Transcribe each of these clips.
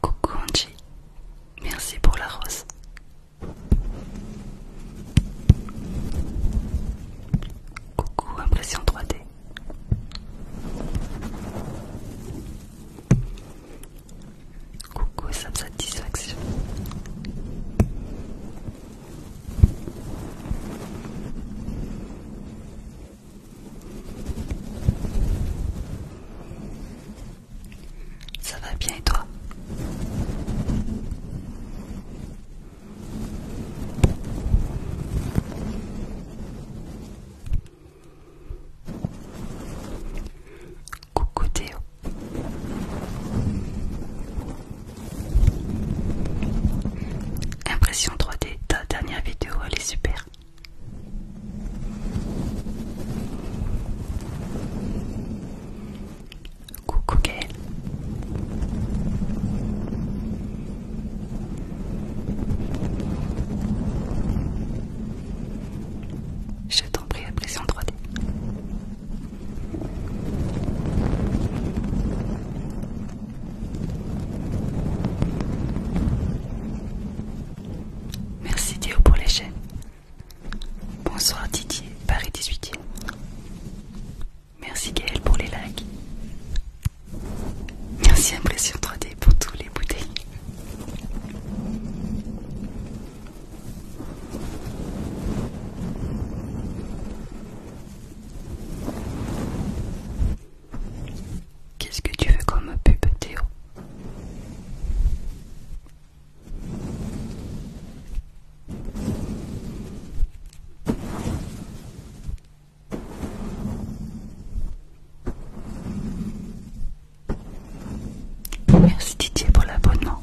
Coucou Angie, merci pour la rose. Coucou impression 3D. Coucou satisfaction. Ça va bien et toi Coucou Théo. Impression 3D, ta dernière vidéo elle est super. Coucou Gaël. Je t'en prie, apprécie en 3D. Merci Théo pour les chaînes. Bonsoir Didier, Paris 18 Merci Gaël pour les likes. Merci Impression 3D pour tous les bouteilles. Qu'est-ce que tu veux comme pub Théo Merci Didier pour l'abonnement.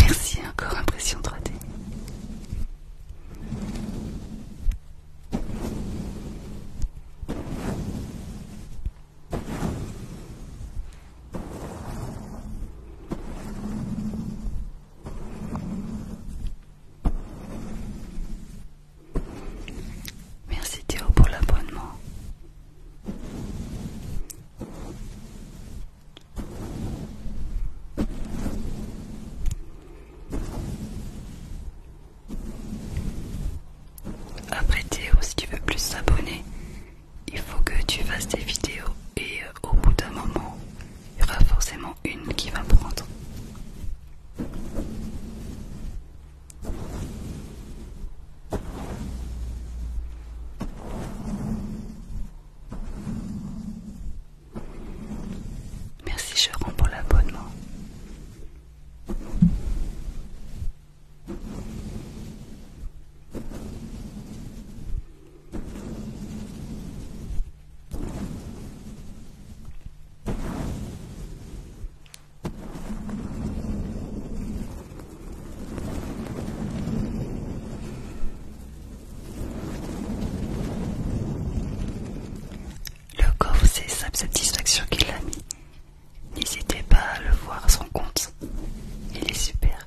Merci encore impression 3D. Merci Théo pour l'abonnement. Après Théo, si tu veux plus t'abonner, il faut que tu fasses des vidéos et euh, au bout d'un moment, il y aura forcément une qui va prendre. Merci rends pour l'abonnement. Le corps, c'est sa satisfaction qu'il a mis. N'hésitez pas à le voir à son compte. Il est super.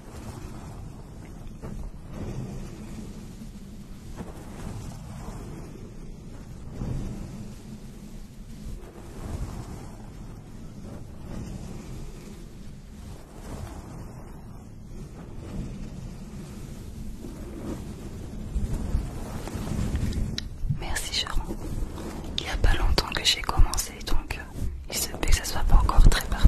Merci Sharon. Il n'y a pas longtemps que j'ai commencé donc il se peut que ça soit pas encore très parfait.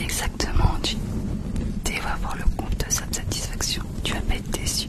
Exactement, tu vas vas voir le compte de sa satisfaction. Tu vas pas être déçu.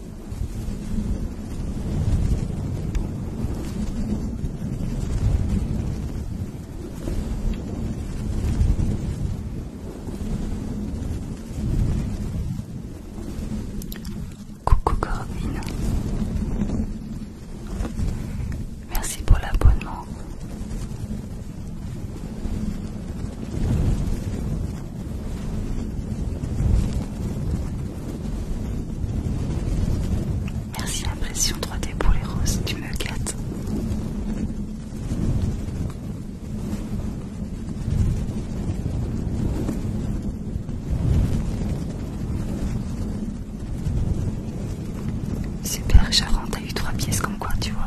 Coucou Corinne, merci pour l'abonnement. Merci l'impression 3D pour les roses, tu me gâtes. Super, Charon, t'as eu trois pièces comme quoi, tu vois.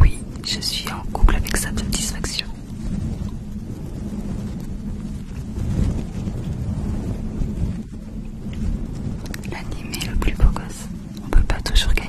Oui, je suis en couple avec sa satisfaction. L'anime est le plus beau gosse. On peut pas toujours gagner.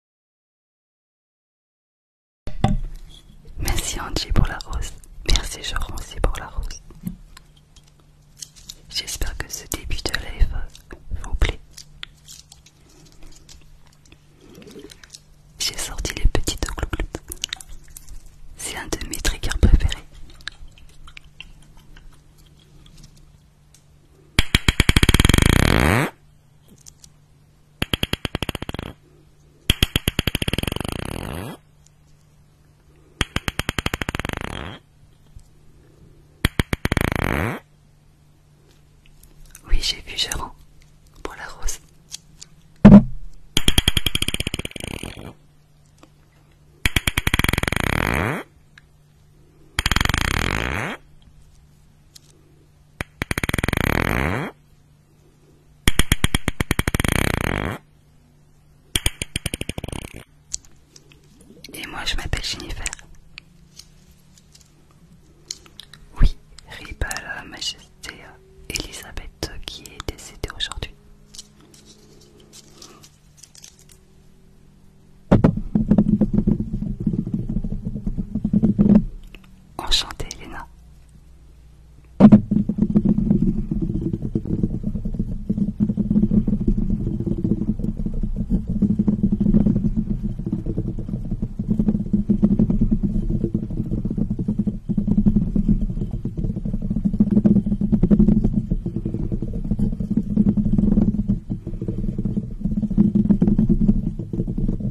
Merci Angie pour la rose. Merci aussi pour la rose. J'espère que ce début de live vous plaît. J'ai sorti les petites glouglous. C'est un de mes triggers préférés. Oui, j'ai vu rends pour la rose. Et moi je m'appelle Jennifer. Oui, Riba la majesté Elisabeth qui est décédée aujourd'hui. Enchantée, Elena.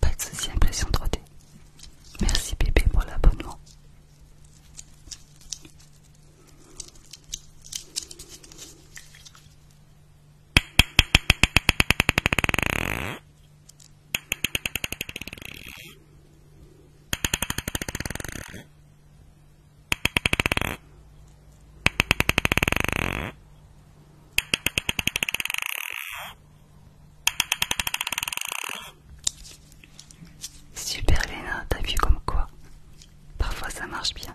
Pas de souci, impression 3 Merci bébé pour l'abonnement. Super Léna, t'as vu comme quoi Parfois ça marche bien.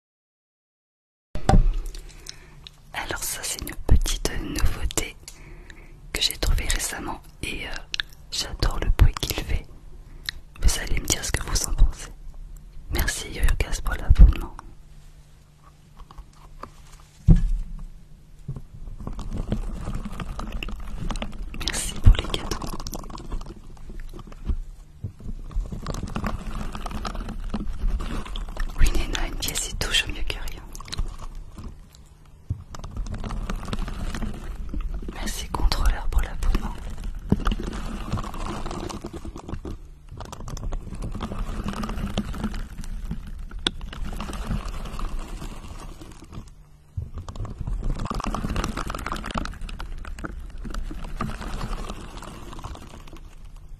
Alors ça c'est une petite nouveauté que j'ai trouvée récemment et euh, j'adore le bruit qu'il fait. Vous allez me dire ce que vous en pensez. Merci Yorgas pour l'abonnement. Merci pour les cadeaux. Oui, Néna, une pièce est toujours mieux que rien. Merci, contrôleur, pour l'abonnement.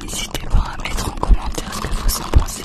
N'hésitez pas à mettre en commentaire ce que vous en pensez.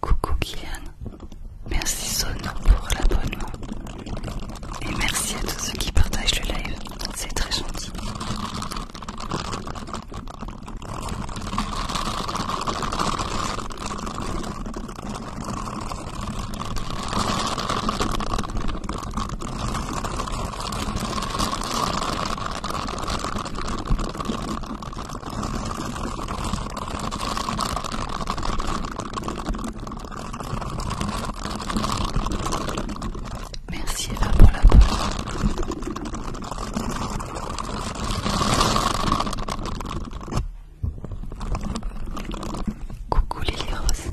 Coucou Kylian, merci Sono pour l'abonnement et merci à tous ceux qui partagent le live, c'est très gentil. Merci Eva pour la peau. Coucou les Rose.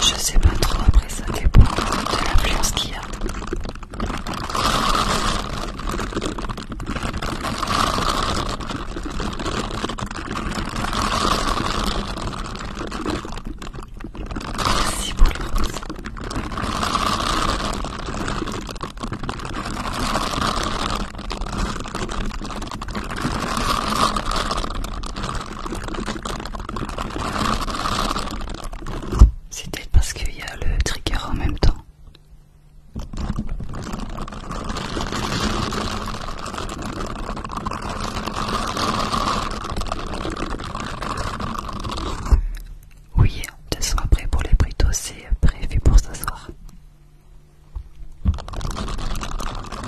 Je sais pas trop, après ça dépend de l'influence qu'il y a. Merci pour le rose. C'est peut-être parce qu'il y a le trigger en même temps. Oui, on descend après pour les britos c'est prévu pour ce soir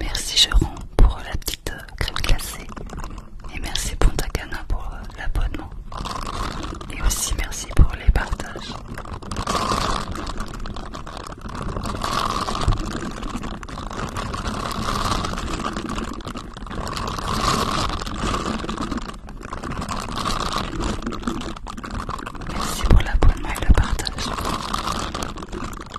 Merci Jérôme pour la petite euh, crème glacée. Et merci Pontacana pour euh, l'abonnement. Et aussi merci pour les partages. Merci pour l'abonnement et le partage.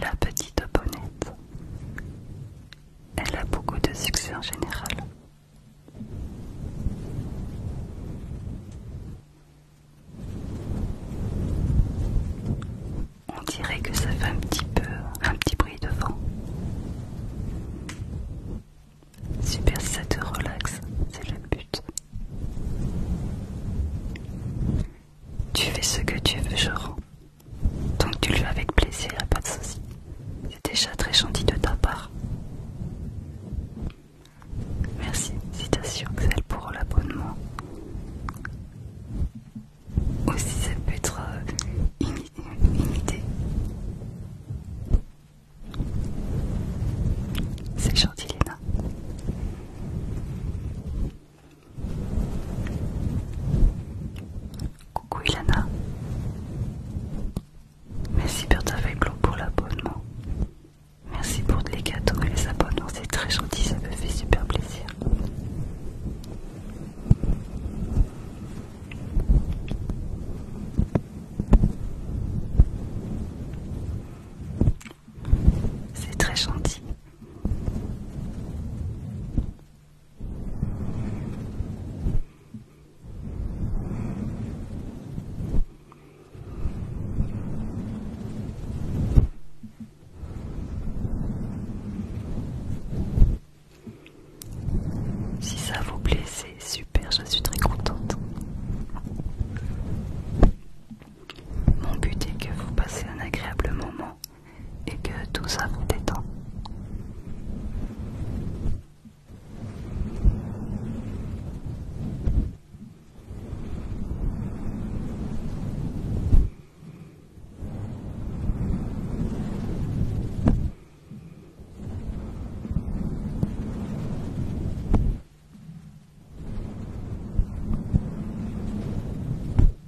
La petite bonnette. Elle a beaucoup de succès en général. On dirait que ça fait un petit peu un petit bruit de vent. Super, ça te relaxe, c'est le but. Tu fais ce que tu veux, Joran. Donc tu le fais avec plaisir, pas de soucis. C'est déjà très gentil de ta part. Merci, citation Axel pour l'abonnement. Aussi ça peut être euh, une, idée. C'est gentil Lena. Coucou Ilana. Merci Bertafeglo pour l'abonnement. Merci pour les cadeaux et les abonnements, c'est très gentil, ça me fait super plaisir. C'est très gentil. Si ça vous plaît, c'est super, je suis très contente. Mon but est que vous passez un agréable moment et que tout ça vous détend.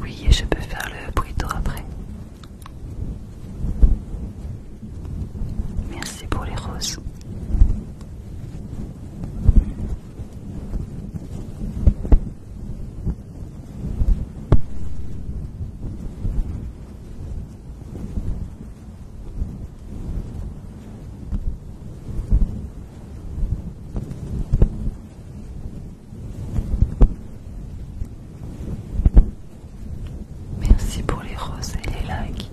Oui, je peux faire le bruit après. Merci pour les roses. Merci pour les roses et les likes.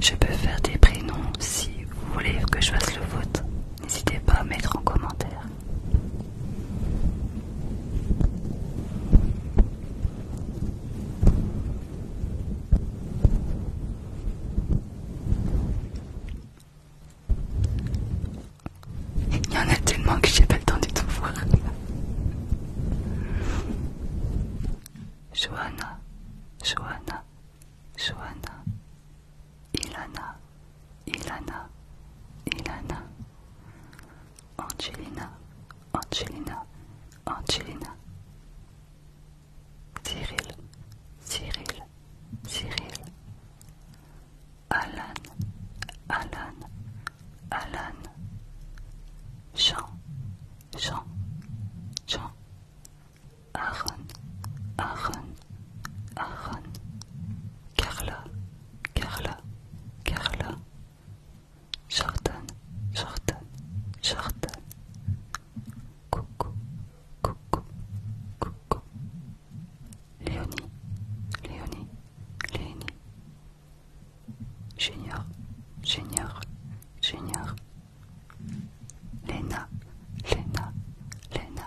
Je peux faire des prénoms si vous voulez que je fasse le vote. N'hésitez pas à mettre en commentaire. Il y en a tellement que j'ai pas le temps de tout voir. Johanna, Johanna, Johanna, Ilana, Ilana, Ilana. Angelina, Angelina, Angelina. Cyril, Cyril, Cyril. Alan, Alan, Alan. Jean, Jean, Jean. Aaron, Aaron, Carla, Carla, Carla, Jordan, Jordan, Jordan, Coucou, Coucou, Coucou, Léonie, Léonie, Léonie, Junior, Junior, Junior, Léna, Léna, Léna,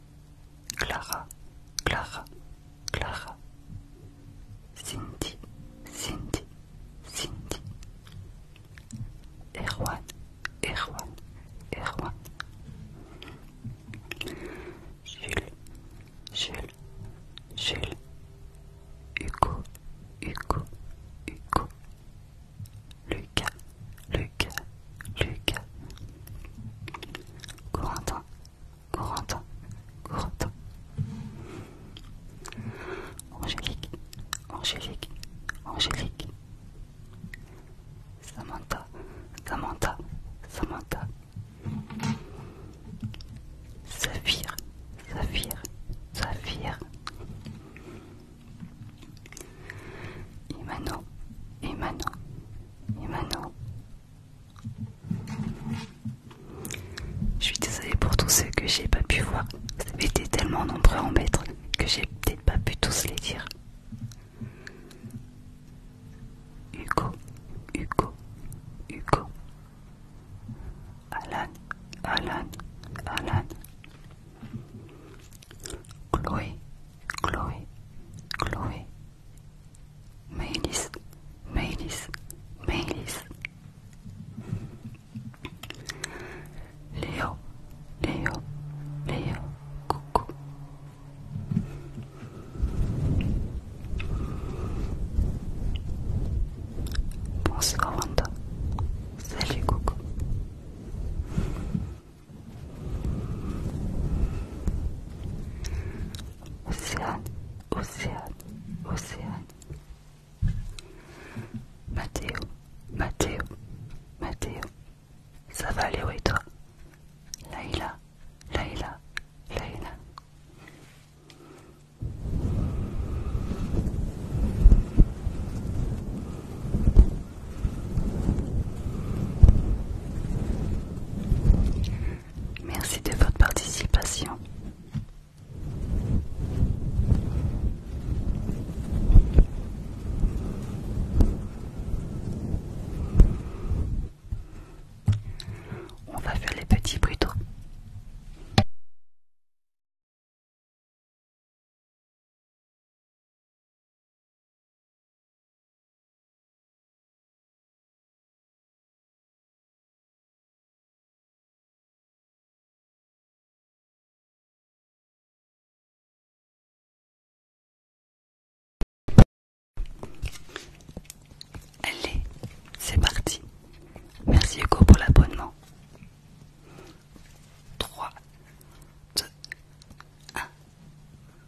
Clara, Clara, Clara. Cindy, Cindy, Cindy. Erwan, Erwan, Erwan. Jules, Jules, Jules. Hugo, Hugo, Hugo. Luc, Luc, Luc. Corentin, Corentin, Corentin. Angélique, Angélique, Angélique. Samantha, Samantha, Samantha. Saphir, Saphir, Saphir. Imano, Imano, Imano. Je suis désolée pour tous ceux que j'ai pas pu voir. Vous avez été tellement nombreux en maître que j'ai peut-être pas pu tous les dire. Hugo, Hugo, Hugo. Alan, Alan, Alan. Chloe, Chloe, Chloe, Melis, Melis, Melis, Leo, Leo, Leo, Cucu. Bonsoir Wanda, salut Cucu. Océane, Océane, Océane. Mathéo, Mathéo, Mathéo. Ça va où et toi Leila Leila Leila Merci de votre participation. On va faire les petits bruits Allez, c'est parti. Merci Hugo pour l'abonnement. 3, 2, 1.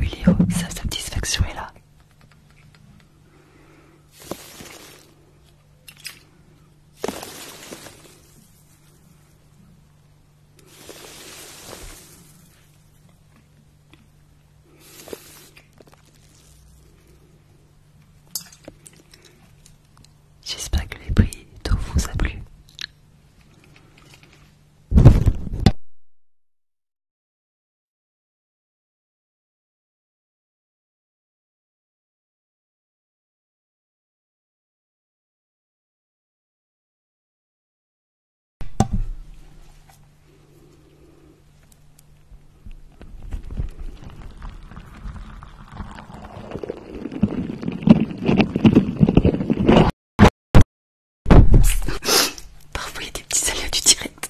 Oui, sa satisfaction est là. J'espère que les prix d'eau vous a plu. Parfois il y a des petits salaires du direct.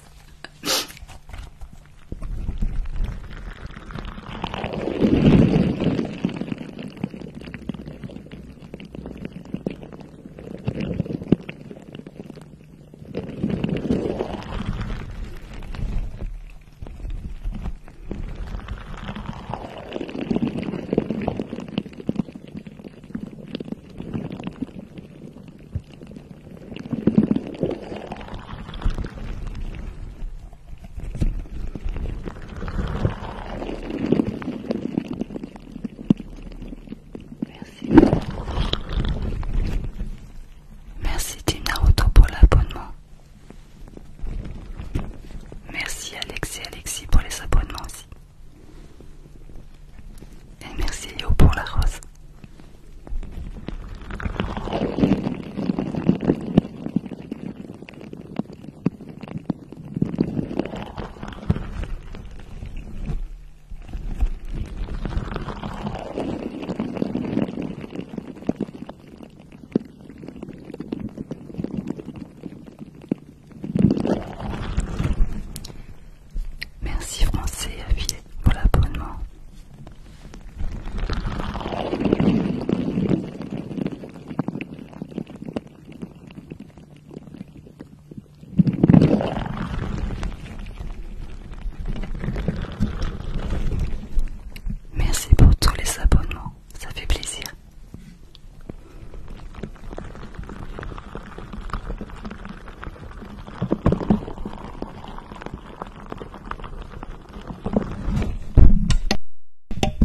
Merci. Merci Tina Auto pour l'abonnement. Merci Alex et Alexis pour les abonnements aussi. Et merci Yo pour la rose. Merci Français Affilé pour l'abonnement. Merci pour tous les abonnements ça fait plaisir.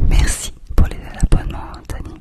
Merci pour les abonnements, Anthony.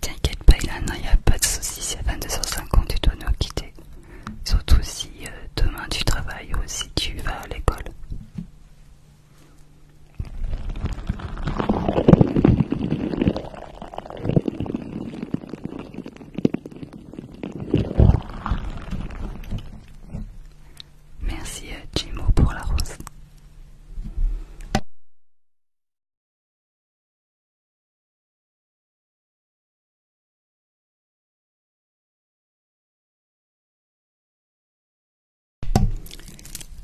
T'inquiète pas, il n'y a pas de souci, c'est 22h50, tu dois nous quitter. Surtout si euh, demain tu travailles ou si tu vas à l'école. Merci euh, Jimo pour la rose.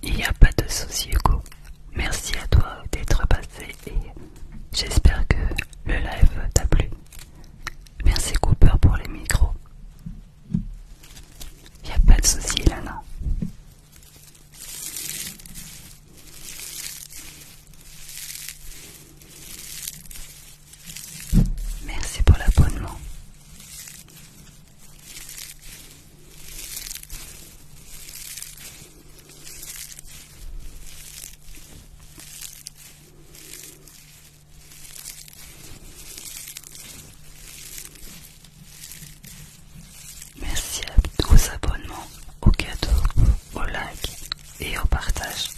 Il n'y a pas de souci Hugo. Merci à toi d'être passé et j'espère que le live t'a plu. Merci Cooper pour les micros. Y a pas de souci, non Merci pour l'abonnement. Merci aux abonnements, aux cadeaux, aux likes et au partage.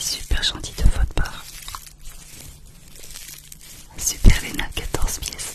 C'est super gentil de votre part. Super Lena 14 pièces.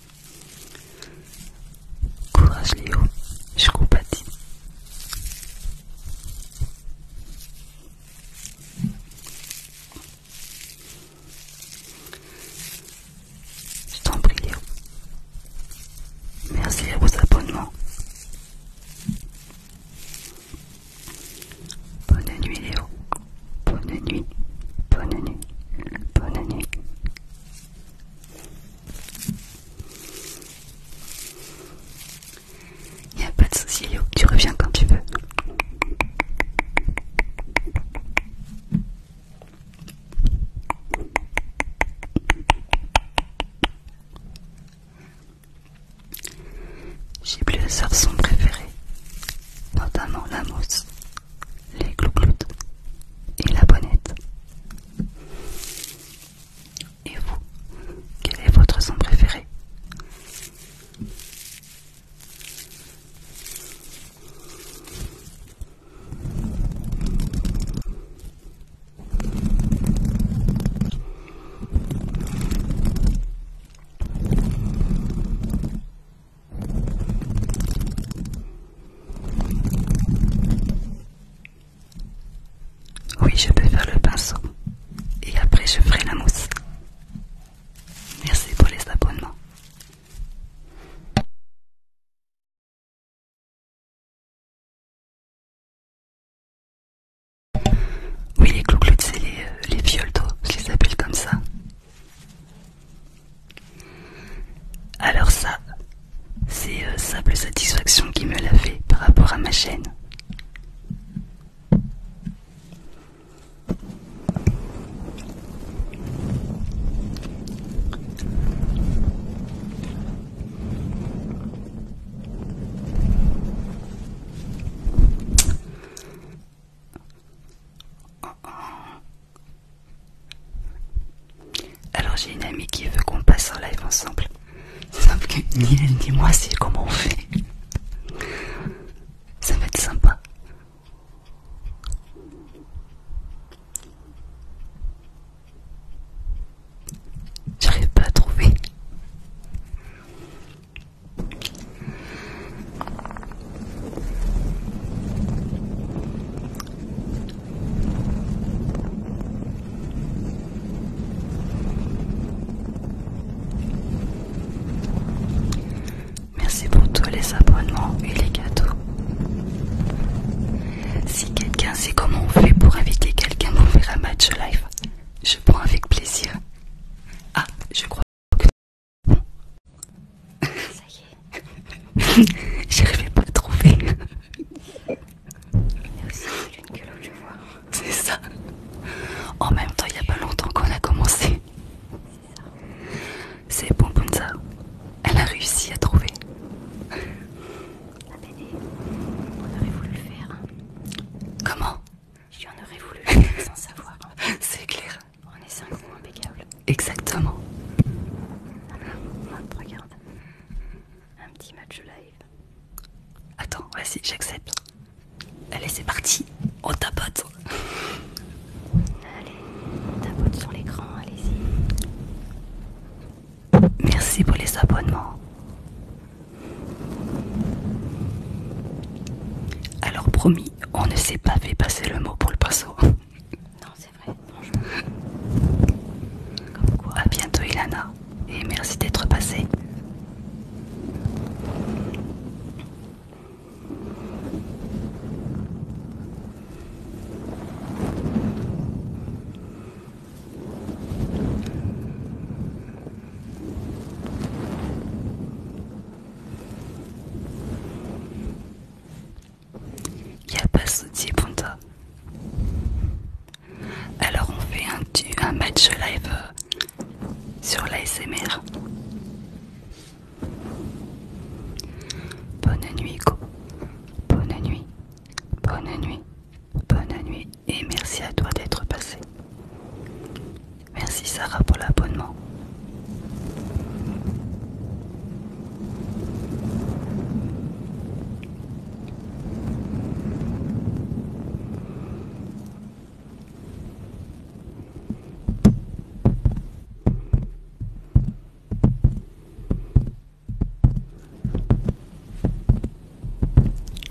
Courage Léo, je compatis. Je t'en prie Léo. Merci à vos abonnements. Bonne nuit Léo. Bonne nuit. Bonne nuit. Bonne nuit. Il a pas de souci, tu reviens quand tu veux. J'ai plusieurs sons préférés, notamment la mousse, les gloucloutes et la bonnette, et vous, quel est votre son préféré oui, je peux faire le pinceau et après je ferai la mousse. Merci pour les abonnements. Oui, les clou c'est les, euh, les viols je les appelle comme ça. Alors ça, c'est simple euh, satisfaction qui me l'a fait par rapport à ma chaîne. Alors j'ai une amie qui veut qu'on passe en live ensemble. Sauf que ni elle ni moi c'est comment on fait. Ça va être sympa. J'arrive pas à trouver. Merci pour tous les abonnements et les gâteaux. Si quelqu'un sait comment on fait pour inviter quelqu'un pour faire un match live, je prends avec plaisir. Ah, je crois que... J'arrivais pas à trouver. aussi une C'est ça. En même temps, il n'y a pas longtemps qu'on a commencé. C'est bon, Elle a réussi à trouver. La on aurait voulu le faire. Comment J'en aurais voulu le faire sans savoir. C'est clair. On est synchro impeccable. Exactement. regarde un petit match live. Attends, vas-y, j'accepte. Allez, c'est parti, on tapote. Allez, on tapote sur l'écran, allez-y. Merci pour les abonnements. Alors promis, on ne s'est pas fait passer le mot pour le pinceau c'est vrai, A bientôt, Ilana, et merci d'être passé il a pas Souti Ponta. Alors on fait un, match live euh, sur l'ASMR. Bonne nuit, Bonne nuit. Bonne nuit. Bonne nuit. Et merci à toi d'être passé. Merci Sarah pour l'abonnement.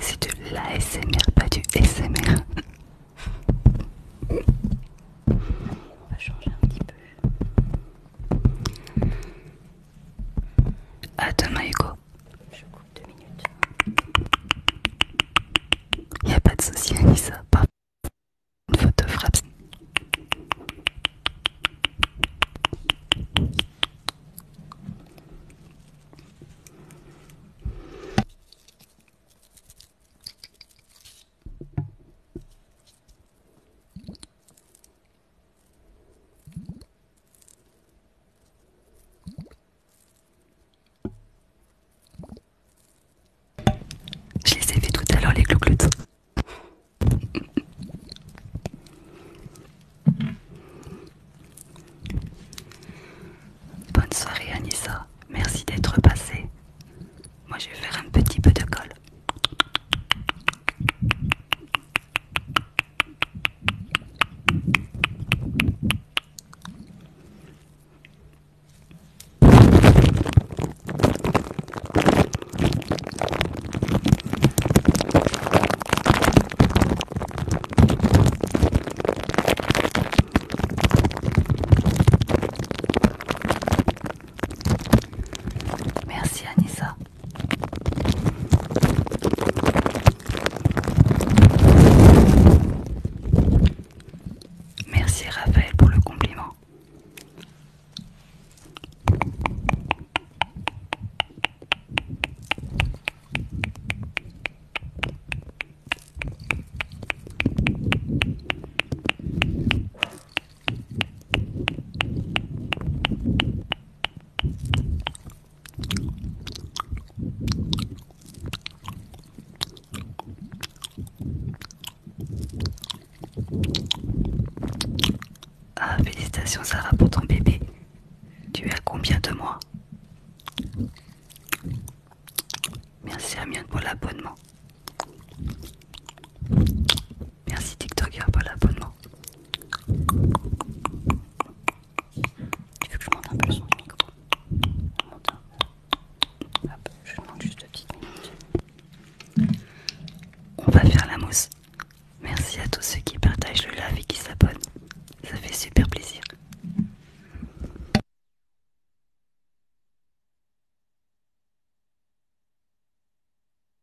C'est de l'ASMR, pas du SMR. On va changer un petit peu. À demain, Hugo. Je coupe deux minutes. Y a pas de souci, Pas une photo frappe. Je les ai fait tout à l'heure les cloucloutes. Bonne soirée Anissa, merci d'être passée. Moi je vais faire un petit peu de colle. Merci Anissa Merci Raphaël pour le compliment. Ah, félicitations Sarah pour ton bébé. Tu as combien de mois Merci mienne pour l'abonnement. Merci TikToker pour l'abonnement. Tu veux que je monte un peu le son du micro Hop, je demande juste deux petites On va faire la mousse. Merci à tous ceux qui partagent le live et qui s'abonnent. Ça fait super plaisir.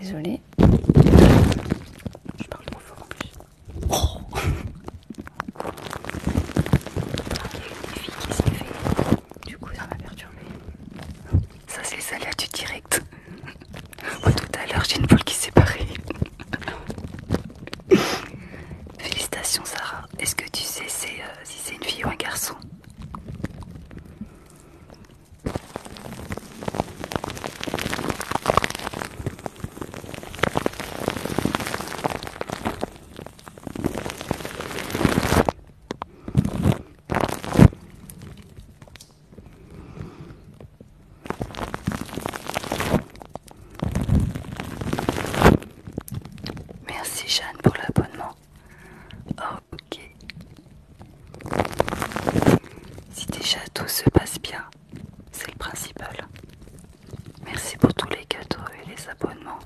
Désolée. Je parle trop fort en plus. Oh qui s'est fait. Du coup ça m'a perturbé. Ça c'est les aléas du direct. Moi tout à l'heure j'ai une boule qui s'est barrée. Félicitations Sarah. Est-ce que tu sais euh, si c'est une fille ou un garçon Merci Jeanne pour l'abonnement. Ok. Si déjà tout se passe bien, c'est le principal. Merci pour tous les cadeaux et les abonnements.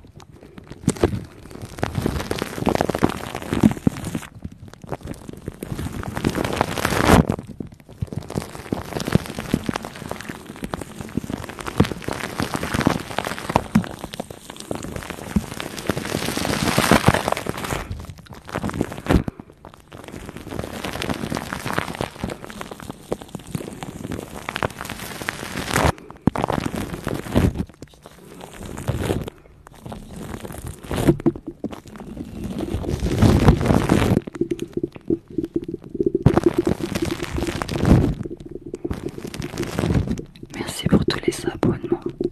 Merci pour tous les abonnements.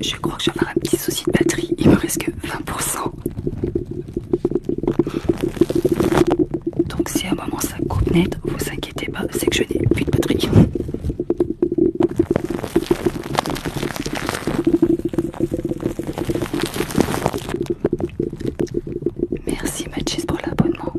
Je crois que j'en ai un petit souci de batterie, il me reste que 20%. Donc si à un moment ça coupe net, vous inquiétez pas, c'est que je n'ai plus de batterie. Merci Mathis pour l'abonnement.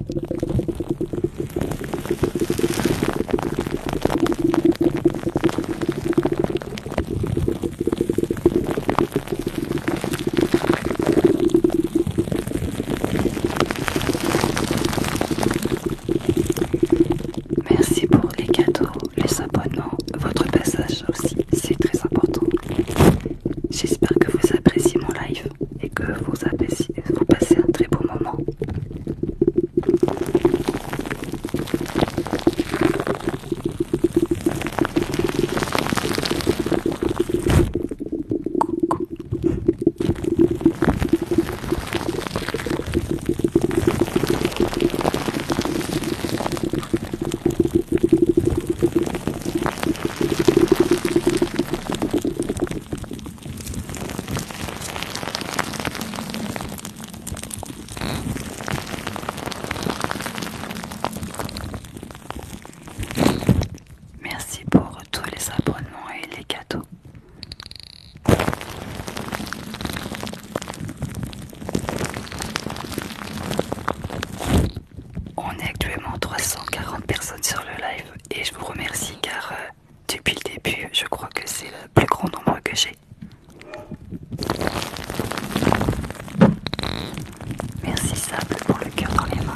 Merci pour les cadeaux, les abonnements, votre passage aussi, c'est très important. J'espère que vous appréciez mon live et que vous, appréciez, vous passez un très beau moment. Coucou. Merci pour tous les abonnements et les cadeaux. On est actuellement 340 personnes sur le live et je vous remercie car euh, depuis le début je crois que c'est le plus grand nombre que j'ai. Merci Sable pour le cœur dans les mains.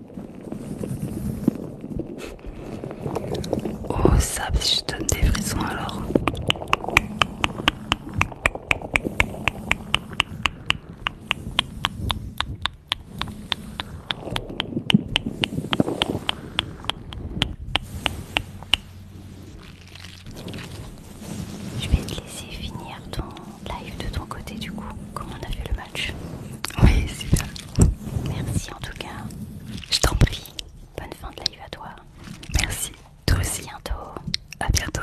Oh ça, je donne des frissons alors. Je vais te laisser finir ton live de ton côté du coup, comme on a vu le match. Oui, super. Merci en tout cas. Je t'en prie. Bonne fin de live à toi. Merci. Toi aussi. À bientôt. À bientôt.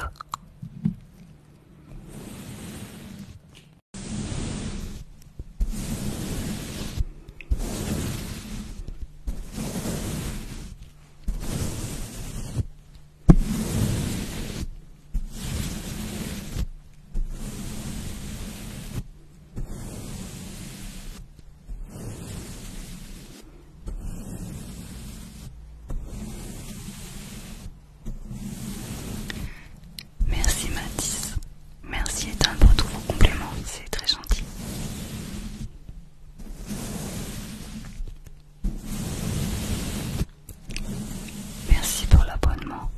Merci Mathis. Merci Ethan pour tous vos compléments, c'est très gentil. Merci pour l'abonnement.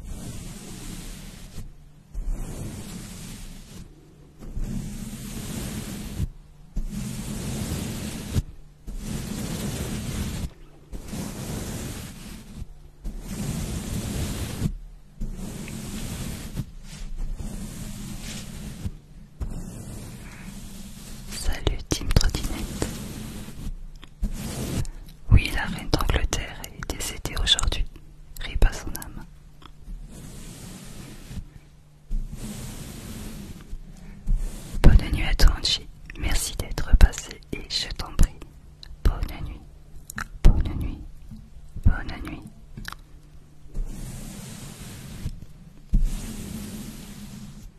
Salut Team Trottinette oui, la reine d'Angleterre est décédée aujourd'hui, ripa son âme. Bonne nuit à toi, Merci d'être passé et je t'en prie. Bonne nuit, bonne nuit, bonne nuit.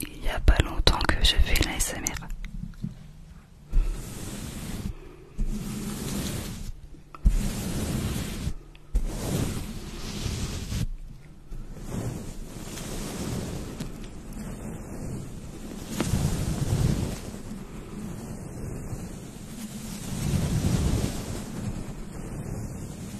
Il n'y a pas longtemps que je fais l'ASMR.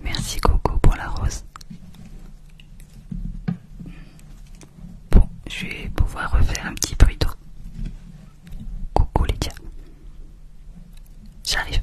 Merci Coco pour la rose. Bon, je vais pouvoir refaire un petit bruit d'eau. les Lydia. J'arrive.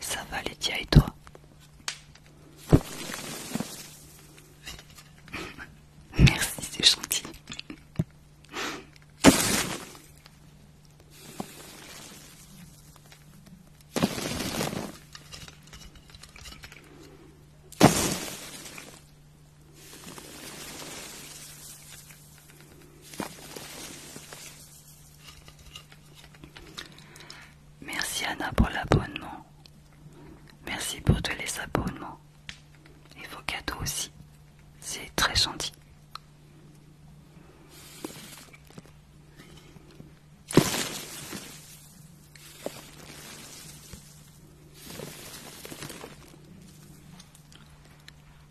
Ça va Lydia et toi Merci, c'est gentil. Merci Anna pour l'abonnement. Merci pour tous les abonnements. Et vos cadeaux aussi. C'est très gentil.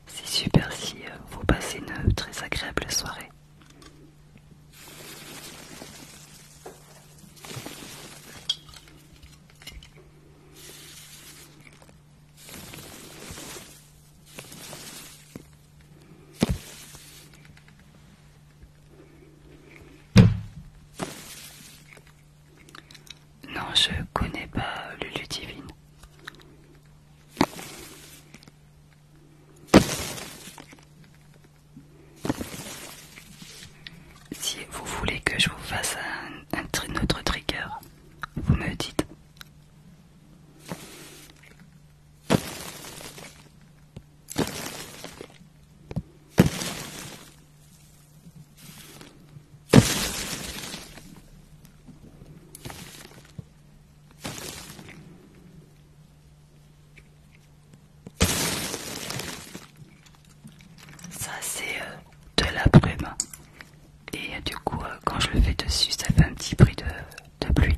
C'est super si euh, vous passez une très agréable soirée. Non, je connais pas Lulu Divine. Si vous voulez que je vous fasse un, autre trigger, vous me dites. Ça c'est euh, de la brume et euh, du coup euh, quand je le fais dessus ça fait un petit bruit de pluie.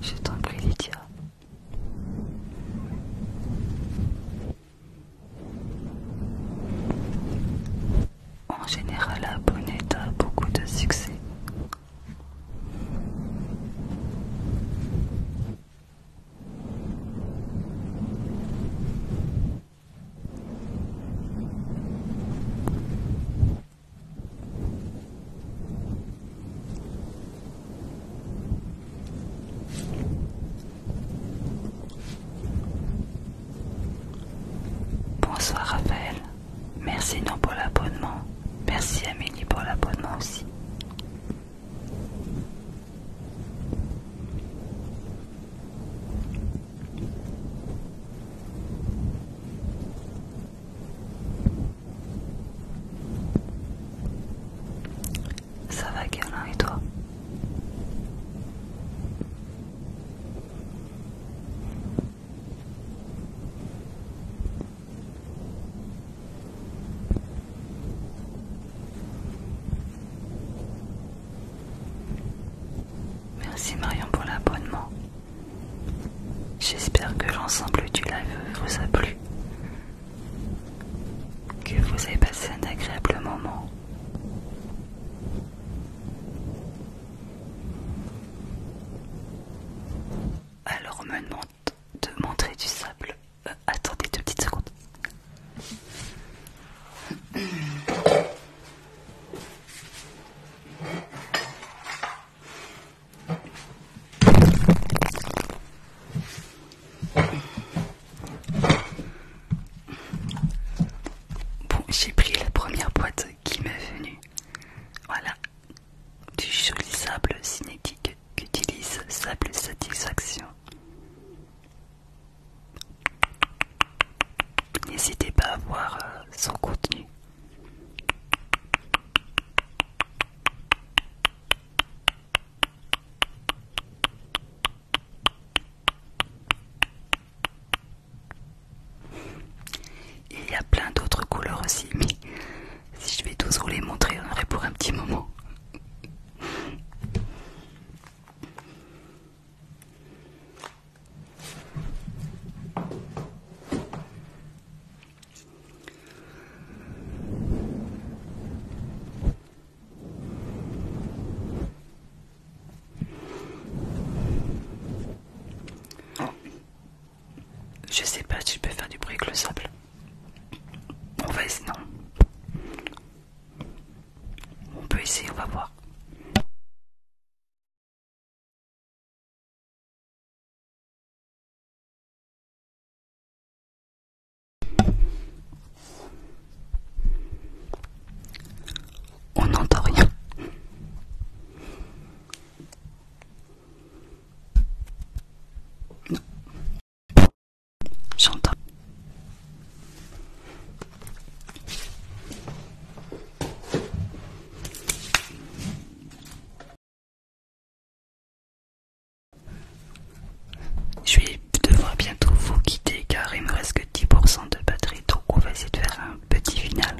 Je t'en prie, Lydia. En général, la est a beaucoup de succès. Bonsoir Raphaël. Merci non pour l'abonnement. Merci Amélie pour l'abonnement aussi. Ça va Guerlain et toi Merci Marion pour l'abonnement. J'espère que l'ensemble du live vous a plu. Que vous avez passé un agréable moment. Alors on me demande de montrer du sable. Euh, attendez deux petites secondes. Bon, j'ai pris la première boîte qui m'est venue. Voilà, du joli sable cinétique qu'utilise Sable Satisfaction. N'hésitez pas à voir euh, son contenu. Il y a plein d'autres couleurs aussi, mais si je vais tous vous les montrer, on aurait pour un petit moment. Je sais pas si je peux faire du bruit avec le sable. On va essayer, non. On peut essayer, on va voir. On n'entend rien. Non. J'entends. Je vais devoir bientôt vous quitter car il me reste 10% de batterie, donc on va essayer de faire un petit final.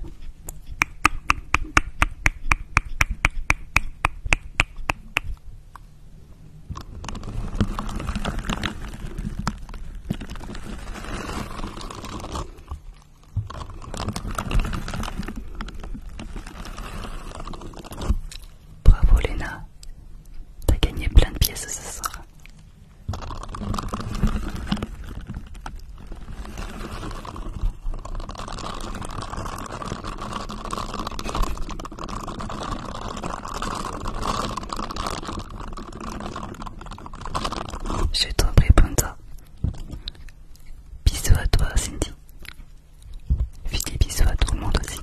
Bravo Léna, t'as gagné plein de pièces ce soir. Je prie Panta, Bisous à toi, Cindy. Fais des bisous à tout le monde aussi.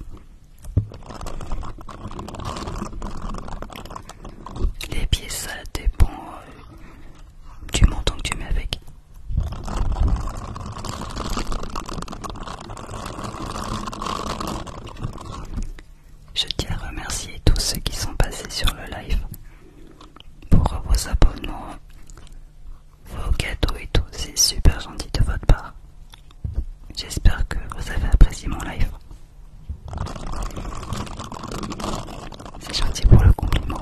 Les pieds, ça dépend euh, du montant que tu mets avec. Je tiens à remercier tous ceux qui sont passés sur le live pour vos abonnements, vos cadeaux et tout. C'est super gentil de votre part. J'espère que vous avez apprécié mon live. C'est gentil pour le compliment.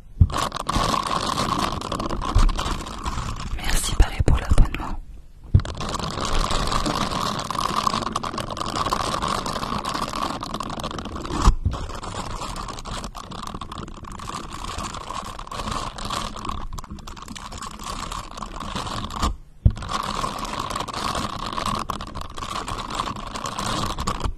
Merci Paris pour l'abonnement.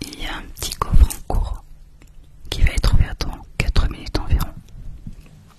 Il y a un petit coffre en cours qui va être ouvert dans 4 minutes environ.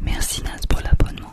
Merci Naz pour l'abonnement.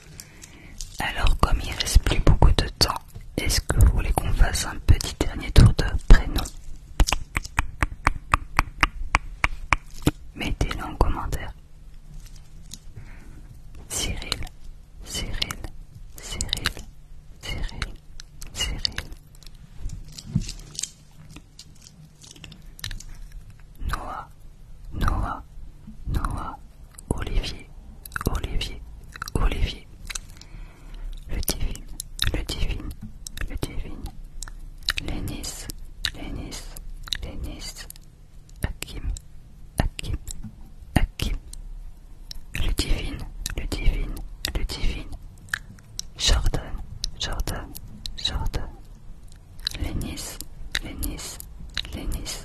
Alors comme il reste plus beaucoup de temps, est-ce que vous voulez qu'on fasse un petit dernier tour de prénom Mettez-le en commentaire. Cyril, Cyril, Cyril, Cyril, Cyril. Noah, Noah, Noah, Olivier, Olivier, Olivier. Le divine, le divine, le divine. Lénice Lénice Lénice Akim, Akim, Akim. Le divine, le divine, le divine. Jordan, Jordan, Jordan. Lénice Lénice Lénice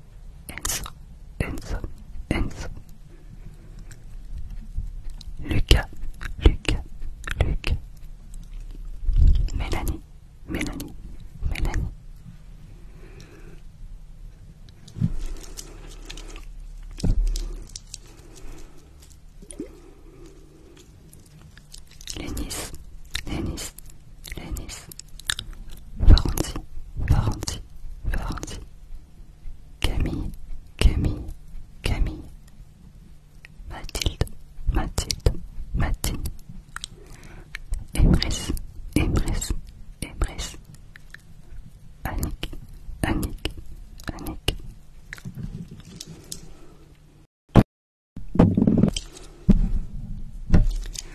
Enzo, Enzo, Enzo. Lucas, Lucas, Lucas. Mélanie, Mélanie, Mélanie. Lénis, Lénis, Lénis. Varanti, Varanti, Camille, Camille, Camille, Mathilde, Mathilde, Mathilde, Emrys, Emrys, Emrys, Annick, Annick, Annick.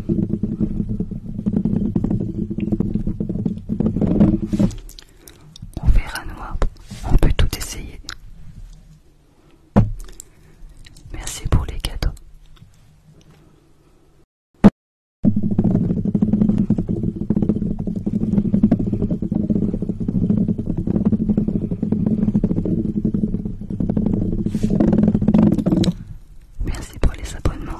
On verra noir, on peut tout essayer. Merci pour les cadeaux. Merci pour les abonnements.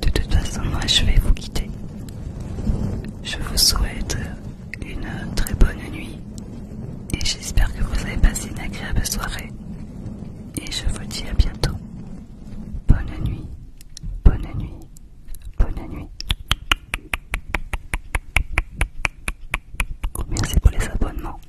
De toute façon, moi je vais vous quitter. Je vous souhaite une très bonne nuit et j'espère que vous avez passé une agréable soirée. Et je vous dis à bientôt. Bonne nuit, bonne nuit, bonne nuit. Merci pour les abonnements.